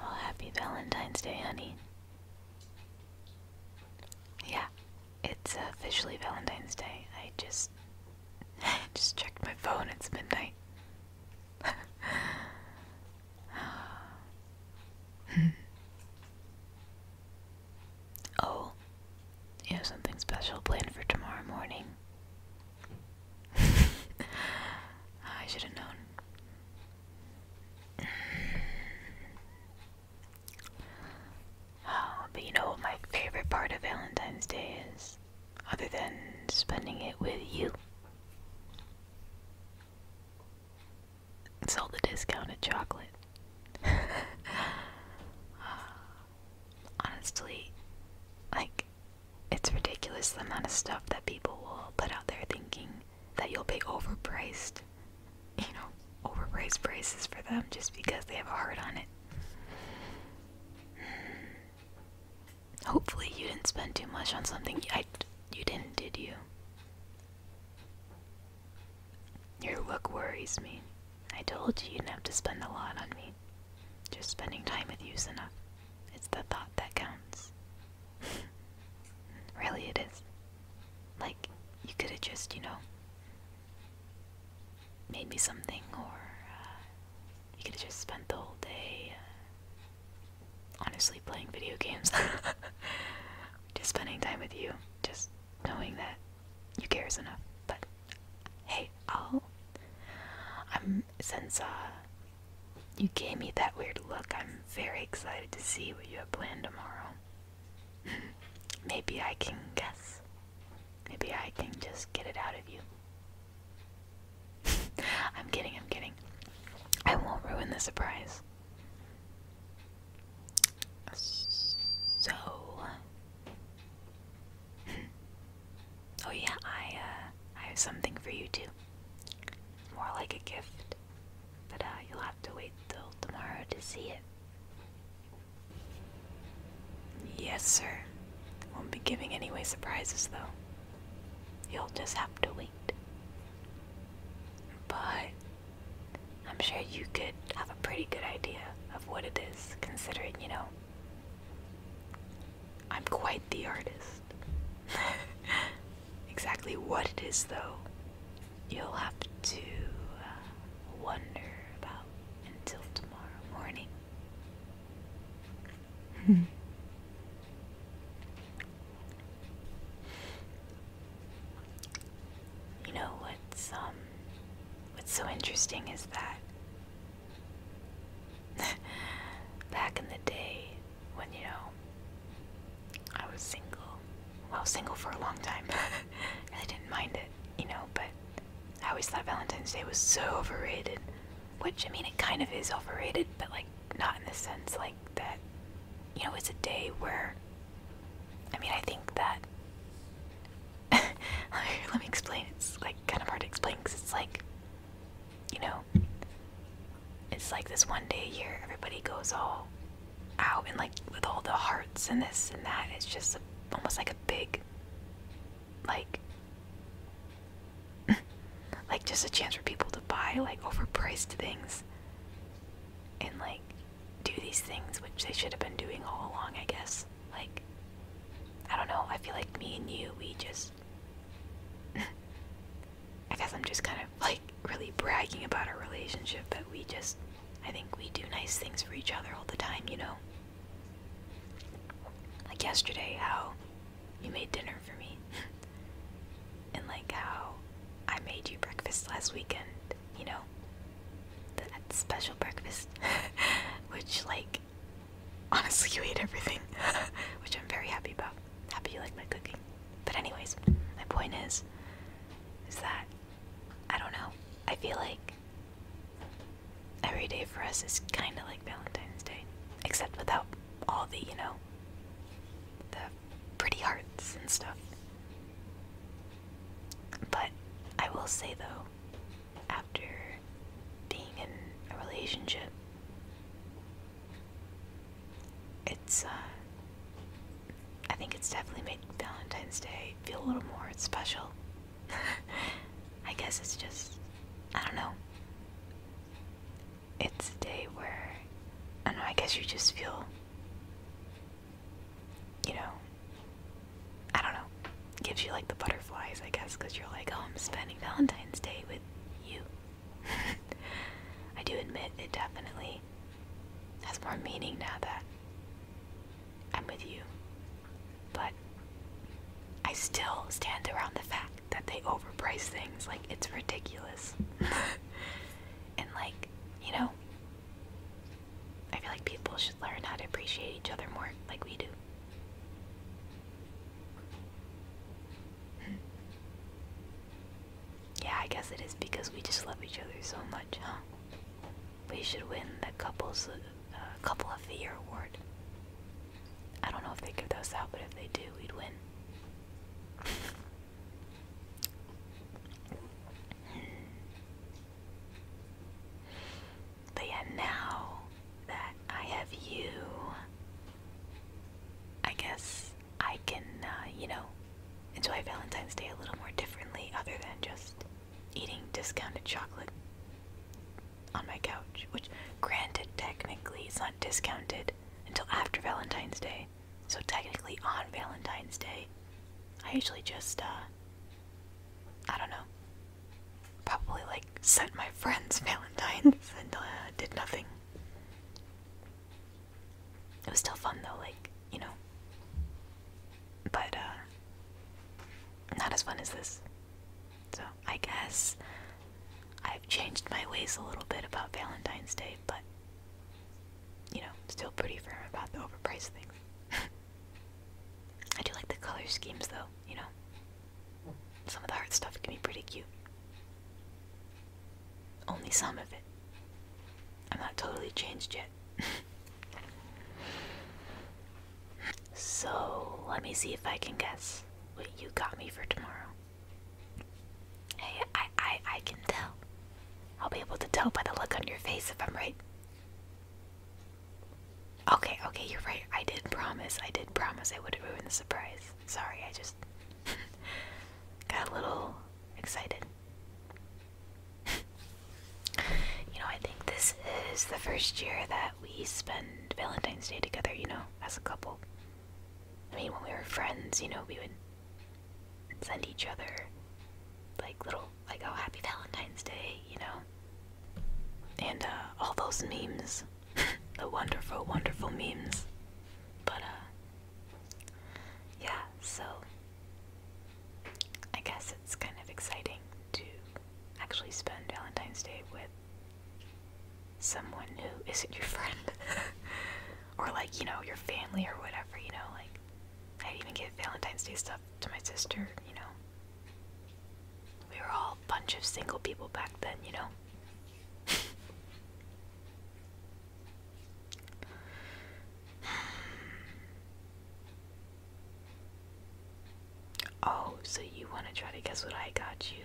Oh, happy Valentine's Day, honey. Yeah, it's officially Valentine's Day. I just I just checked my phone. It's midnight. Hmm. Oh, you have something special planned for tomorrow morning. I should have known. Oh, but you know what my favorite part of Valentine's Day is? Other than spending it with you and sold the discounted chocolate. Honestly, like, it's ridiculous the amount of stuff that people will put out there thinking that you'll pay overpriced, you know, overpriced prices for them just because they have a heart on it. Hopefully, you didn't spend too much on something. I, you didn't, did you? Your look worries me. I told you you'd have to spend a lot on me. Just spending time with you's enough. It's the thought that counts. really, it is. Like, you could have just, you know, made me something, or uh, you could have just spent the whole day uh, honestly playing video games. just spending time with you. Just knowing that you care is enough. But hey, I'll. I'm since uh, you gave me that weird look. I'm very excited to see what you have planned tomorrow. Maybe I can guess. Maybe I can just get it out of you. I'm kidding, I'm kidding. I won't ruin the surprise. So, oh yeah, I uh, I have something for you too. more like a gift, but uh, you'll have to wait till tomorrow to see it. Yes, sir. Won't be giving any way surprises though. You'll just have to wait. But I'm sure you could have a pretty good idea of what it is, considering, you know, I'm quite the artist. exactly what it is, though, you'll have to uh, wonder about until tomorrow morning. Hmm you know what's um what's so interesting is that back in the day when you know I was single well single for a long time I didn't mind it you know but I always thought Valentine's Day was so overrated which I mean it kind of is overrated but like not in the sense like that you know it's a day where I mean, I think that. let, me, explain. It's like kind of hard to explain because it's like, you know, it's like this one day a year everybody goes all out and like with all the hearts and this and that. It's just almost like a big, like, like just a chance for people to buy like overpriced things and like do these things which they should have been doing all along, I guess. Like, I don't know. I feel like me and you, we just. I guess I'm just kind of like really bragging about our relationship, but we just. I think we do nice things for each other all the time, you know? Like yesterday, how you made dinner for me. and like how I made you breakfast last weekend, you know? that special breakfast, which like honestly you ate everything, which I'm very happy about. Happy you like my cooking. But anyways, my point is, is that I don't know. I feel like every day for us is kind of like Valentine's Day, except without all the you know the pretty hearts and stuff. But I will say though, after being in a relationship, it's, uh, I think it's definitely made Valentine's Day feel a little more special. I guess it's just, I don't know. It's a day where, I know, I guess you just feel you know, I don't know, gives you like the butterflies, I guess, because you're like, oh, I'm spending Valentine's Day with you. I do admit it definitely has more meaning now that I'm with you, but I still stand around the fact that they overprice things. Like, it's ridiculous. and, like, you know, I feel like people should learn how to appreciate each other more like we do. yeah, I guess it is because we just love each other so much, huh? We should win the couples uh, couple of the year award. I don't know if they give those out, but if they do, we'd win. But now that I have you, I guess I can, uh, you know, enjoy Valentine's Day a little more differently other than just eating discounted chocolate on my couch, which, granted, technically, it's not discounted until after Valentine's Day. So technically on Valentine's Day, I usually just, uh, I don't know, probably like sent my friends Valentine's and uh, did nothing. It was still fun though, like, you know. But, uh, not as fun as this. So, I guess I've changed my ways a little bit about Valentine's Day, but you know, still pretty firm about the overpriced things. I do like the color schemes though, you know. Some of the art stuff can be pretty cute. Only some of it. I'm not totally changed yet. so, let me see if I can guess what you got me for tomorrow. Hey, I I I can tell. I'll be able to tell by the look on your face if I'm right. Okay, okay, you're right. I did promise. I did promise I would ruin the surprise. Sorry, I just got a little excited. you know, I think this is the first year that we spend Valentine's Day together, you know, as a couple. I mean, when we were friends, you know, we would send each other like little like oh happy Valentine's Day, you know. And uh all those memes. the wonderful, wonderful memes. But uh yeah, so I guess it's kind of exciting to actually spend Valentine's Day with someone who isn't your friend. or like you know your family or whatever you know like i'd even get valentine's day stuff to my sister you know we were all a bunch of single people back then you know oh so you want to try to guess what i got you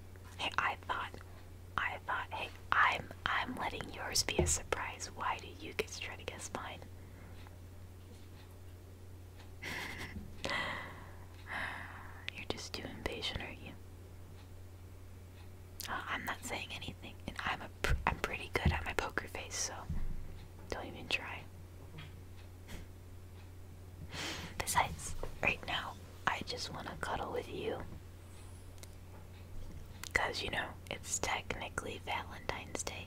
hey i thought i thought hey i'm I'm letting yours be a surprise. Why do you get to try to guess mine? You're just too impatient, are you? Uh, I'm not saying anything, and I'm a I'm pretty good at my poker face, so don't even try. Besides, right now I just want to cuddle with you because, you know, it's technically Valentine's Day.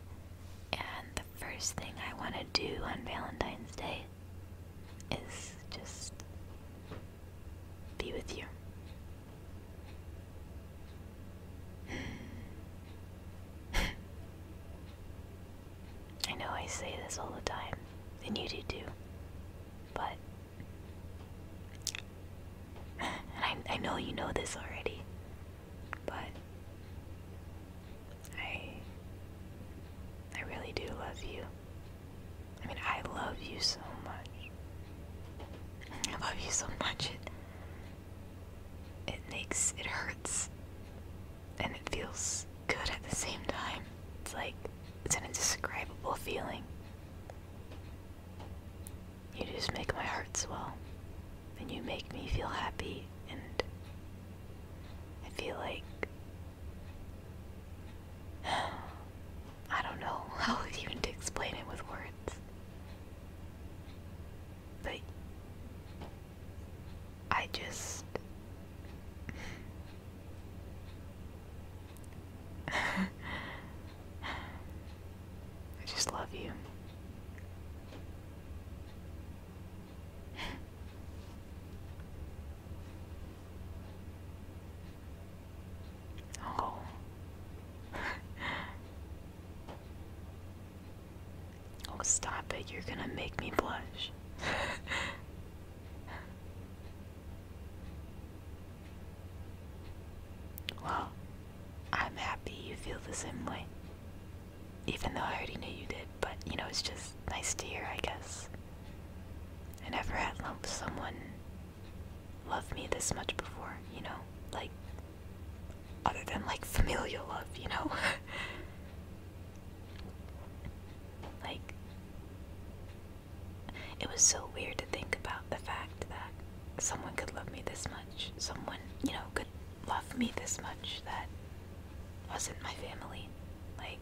And the first thing I want to do on Valentine's Day is just be with you. I know I say this all the time, and you do too, but I, I know you know this already, but I I really do love you. I mean, I love you so much. I love you so much. It it makes it hurts, and it feels good at the same time. It's like it's an indescribable feeling. You just make my heart swell. And you make me feel happy, and I feel like. I don't know how even to explain it with words. But I just. I just love you. oh. oh, stop it. You're gonna make me blush. Well, I'm happy you feel the same way. Even though I already knew you did, but you know, it's just nice to hear, I guess. I never had someone love me this much before, you know? Like, other than like familial love, you know? like, it was so weird to think about the fact that someone could love me this much. Someone, you know, could love me this much that wasn't my family. Like,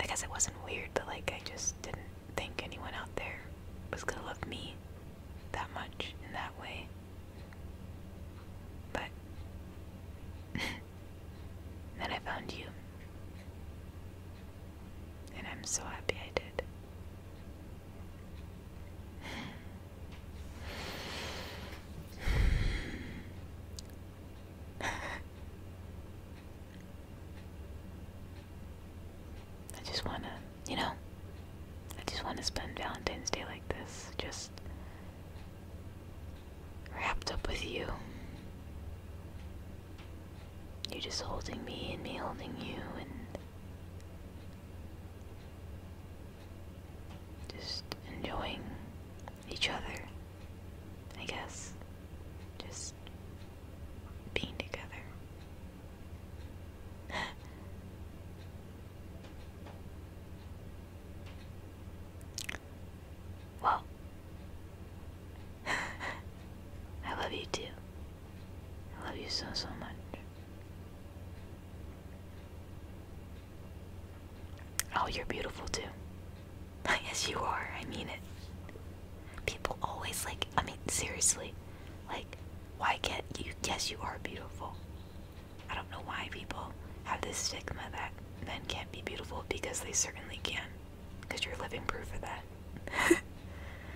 I guess it wasn't weird, but like, I just didn't think anyone out there was gonna love me that much in that way. But then I found you. And I'm so happy I did. I just want to, you know, I just want to spend Valentine's Day like this, just wrapped up with you. You're just holding me and me holding you and just enjoying each other, I guess. Just being together. well, I love you too. I love you so, so much. Oh, you're beautiful too. yes, you are. I mean it. People always like, I mean, seriously, like, why can't you? Yes, you are beautiful. I don't know why people have this stigma that men can't be beautiful because they certainly can. Because you're living proof of that.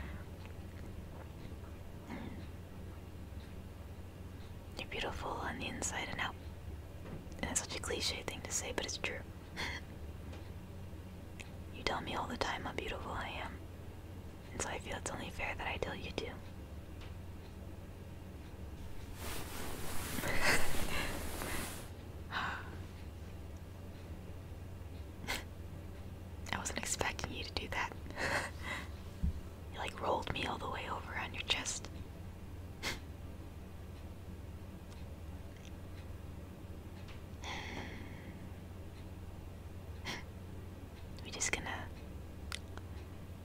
You're beautiful on the inside and out. And it's such a cliche thing to say, but it's true. you tell me all the time how beautiful I am. And so I feel it's only fair that I tell you too. I wasn't expecting you to do that. you like rolled me all the way over on your chest. We're just gonna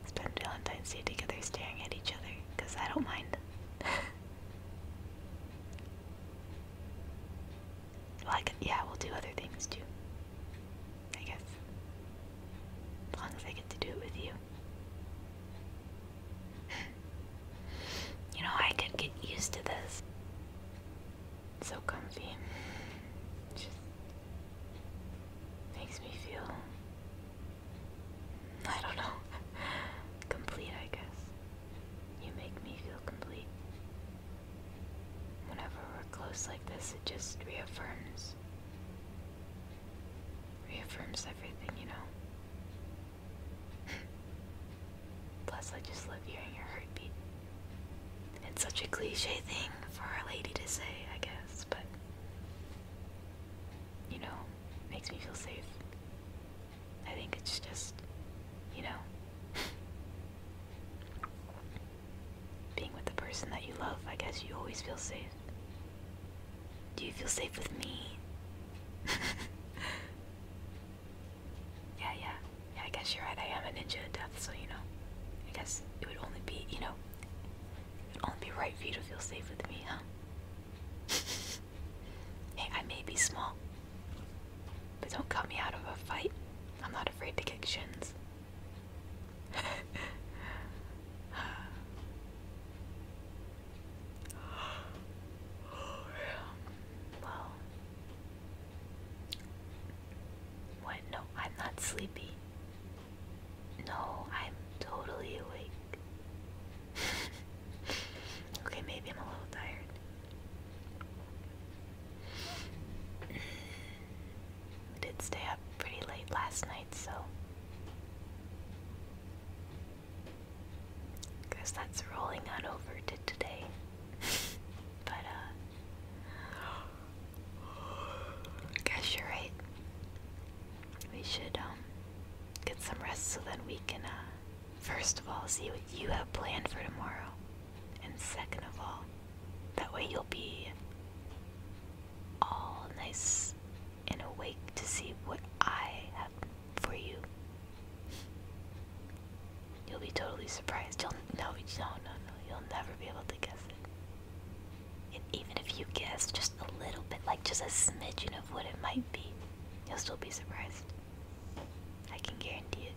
spend Valentine's Day together staring at each other, because I don't mind. Well, yeah, we'll do other things too. I guess. As long as I get to do it with you. you know, I could get used to this. so comfy. just makes me feel. I don't know. complete, I guess. You make me feel complete. Whenever we're close like this, it just reaffirms. Reaffirms everything, you know? Plus, I just love hearing your heartbeat. It's such a cliche thing for a Lady to say, I guess, but. You know, makes me feel safe. I think it's just, you know, Being with the person that you love, I guess you always feel safe. Do you feel safe with me? yeah, yeah. Yeah, I guess you're right. I am a ninja of death, so you know. I guess it would only be, you know, it would only be right for you to feel safe with me, huh? hey, I may be small, but don't cut me out of a fight. I'm not afraid to kick shins. well, what? No, I'm not sleepy. No, I'm totally awake. okay, maybe I'm a little tired. I did stay up pretty late last night, so I that's rolling on over to today. but uh guess you're right. We should um get some rest so then we can uh first of all see what you have planned for tomorrow. And second of all, that way you'll be all nice and awake to see what I have for you. You'll be totally surprised. You'll no, no, no, no. You'll never be able to guess And even if you guess just a little bit, like just a smidgen of what it might be, you'll still be surprised. I can guarantee it.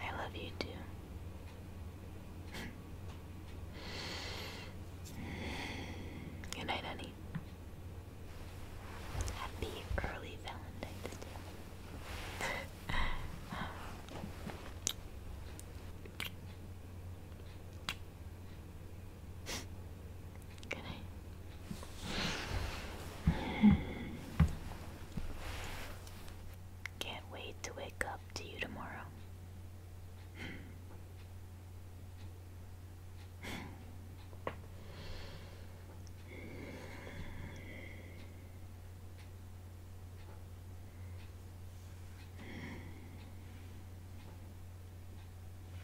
I love you too. Good night, honey. Happy early Valentine's Can't wait to wake up to you tomorrow.